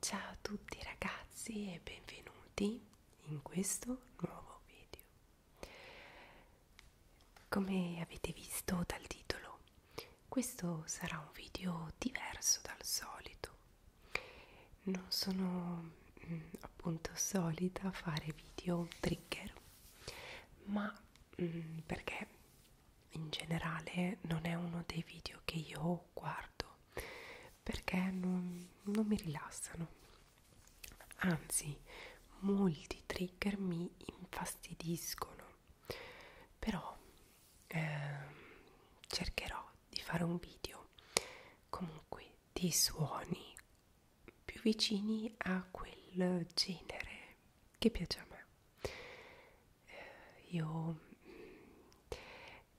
Ciao a tutti ragazzi e benvenuti in questo nuovo video. Come avete visto dal titolo, questo sarà un video diverso dal solito. Non sono mh, mm, appunto solita fare video trigger, ma mh, mm, perché in generale non è uno dei video che io guardo perché non, non mi rilassano anzi molti trigger mi infastidiscono però eh, cercherò di fare un video comunque di suoni più vicini a quel genere che piace a me eh, io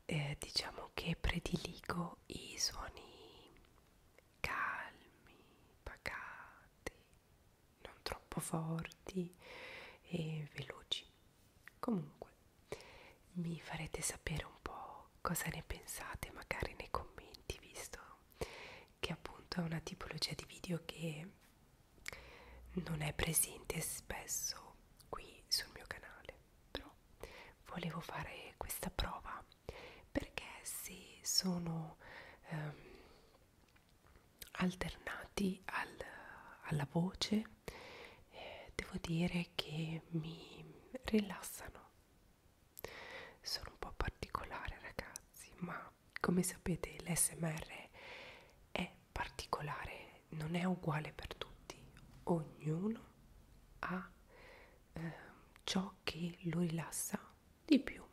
eh, diciamo che prediligo i suoni calmi, pacati, non troppo forti e veloci. Comunque, mi farete sapere un po' cosa ne pensate, magari nei commenti, visto che appunto è una tipologia di video che non è presente spesso qui sul mio canale però volevo fare questa prova perché se sono ehm, alternati al, alla voce eh, devo dire che mi rilassano sono un po' particolare ragazzi ma come sapete l'SMR è particolare, non è uguale per tutti, ognuno ha eh, ciò che lo rilassa di più.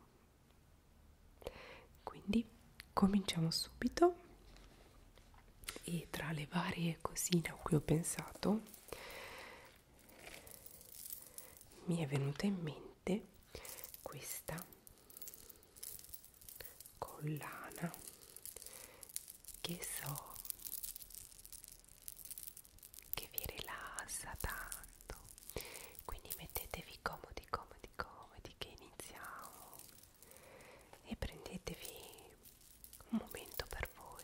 Quindi cominciamo subito e tra le varie cosine a cui ho pensato mi è venuta in mente questa con lana che so che vi rilassa tanto quindi mettetevi comodi comodi comodi che iniziamo e prendetevi un momento per voi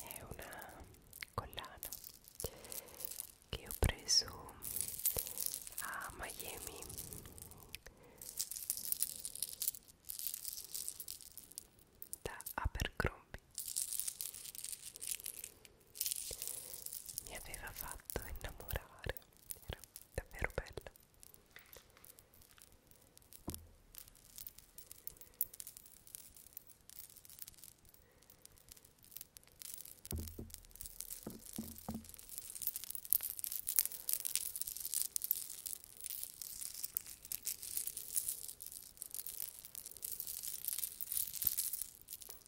è una collana che ho preso a Miami da Abercrombie mi aveva fatto innamorare era davvero bella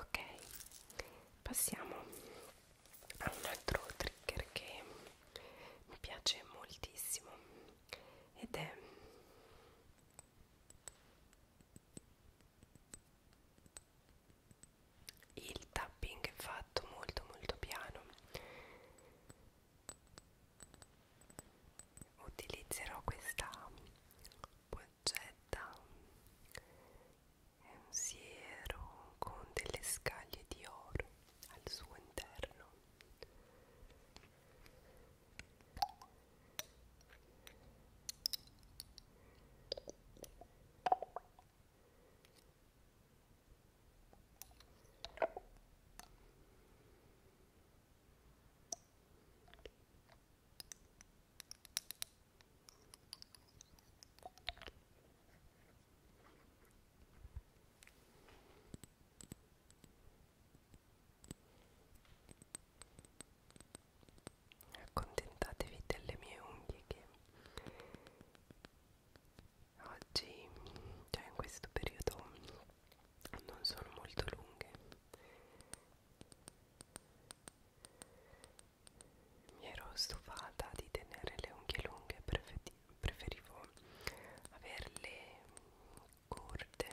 ok passiamo a un altro trigger che mi piace moltissimo ed è il tapping fatto molto molto piano utilizzerò questa boccetta è un siero con delle scaglie di oro al suo interno Accontentatevi delle mie unghie che oggi, cioè in questo periodo, non sono molto lunghe mi ero stufata di tenere le unghie lunghe preferivo averle corte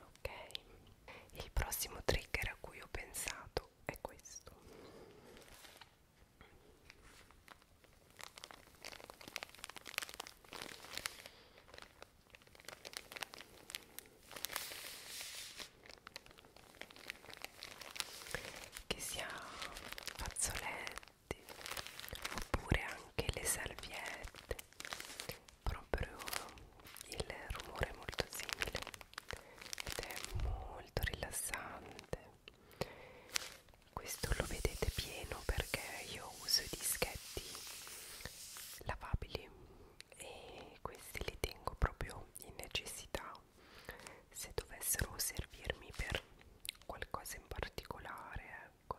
Ok, il prossimo trigger a cui ho pensato è questo che sia fazzoletti oppure anche le salviette proprio il rumore è molto simile ed è molto rilassante questo lo vedete pieno perché io uso i dischetti lavabili e questi li tengo proprio in necessità se dovessero servirmi per qualcosa in particolare ecco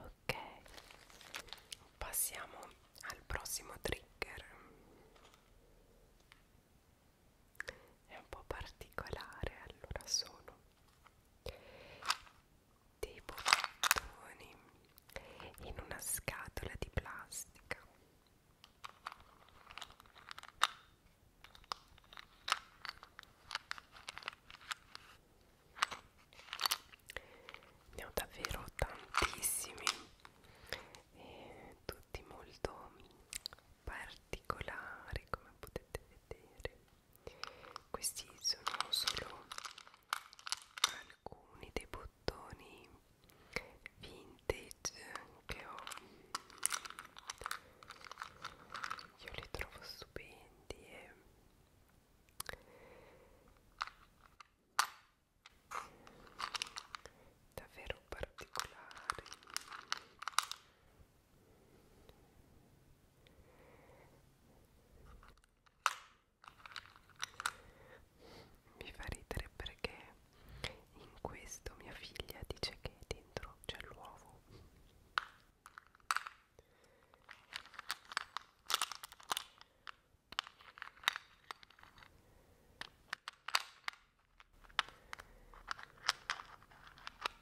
Ok, passiamo al prossimo trigger. È un po' particolare, allora sono dei bottoni in una scatola di plastica ne ho davvero tantissimi e tutti molto particolari come potete vedere questi sono solo alcuni dei bottoni vintage che ho io li trovo stupendi e davvero particolari mi fa ridere perché in questo mia figlia dice che dentro c'è l'uovo.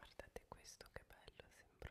Guardate questo che bello, sembra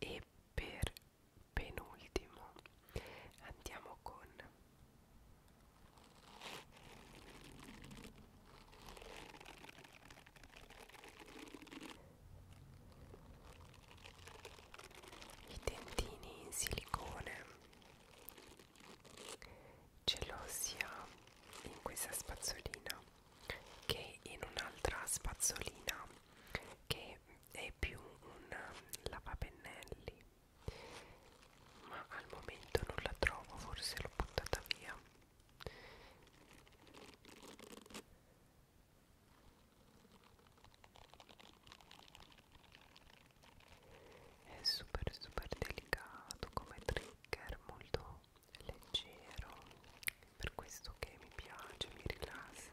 e per penultimo andiamo con i dentini in silicone gelosia in questa spazzolina che in un'altra spazzolina che è più un lavapennelli ma al momento non la trovo forse l'ho buttata via è super super delicato come trigger molto leggero per questo che mi piace mi rilassa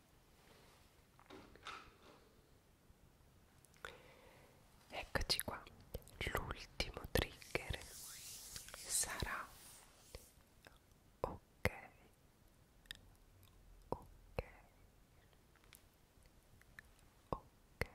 Eccoci qua, l'ultimo trigger sarà ok, ok, ok, ok,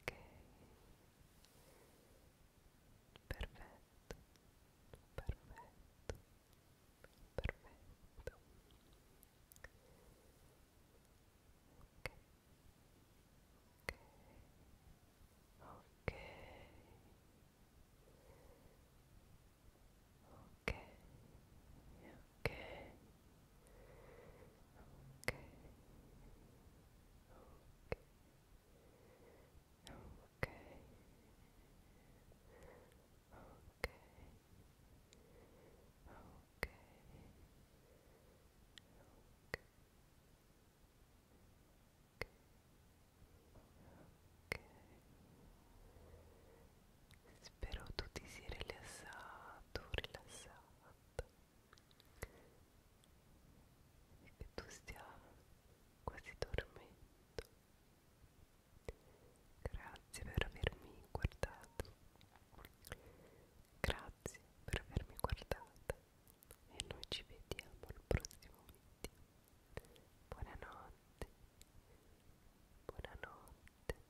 ok perfetto perfetto perfetto ok ok ok ok ok ok ok ok ok ok ok Ok, spero tu ti sia rilassato, rilassata, e che tu stia quasi dormendo. Grazie per avermi guardato. Grazie per avermi guardata e noi ci vediamo al prossimo video. Buonanotte. Buonanotte.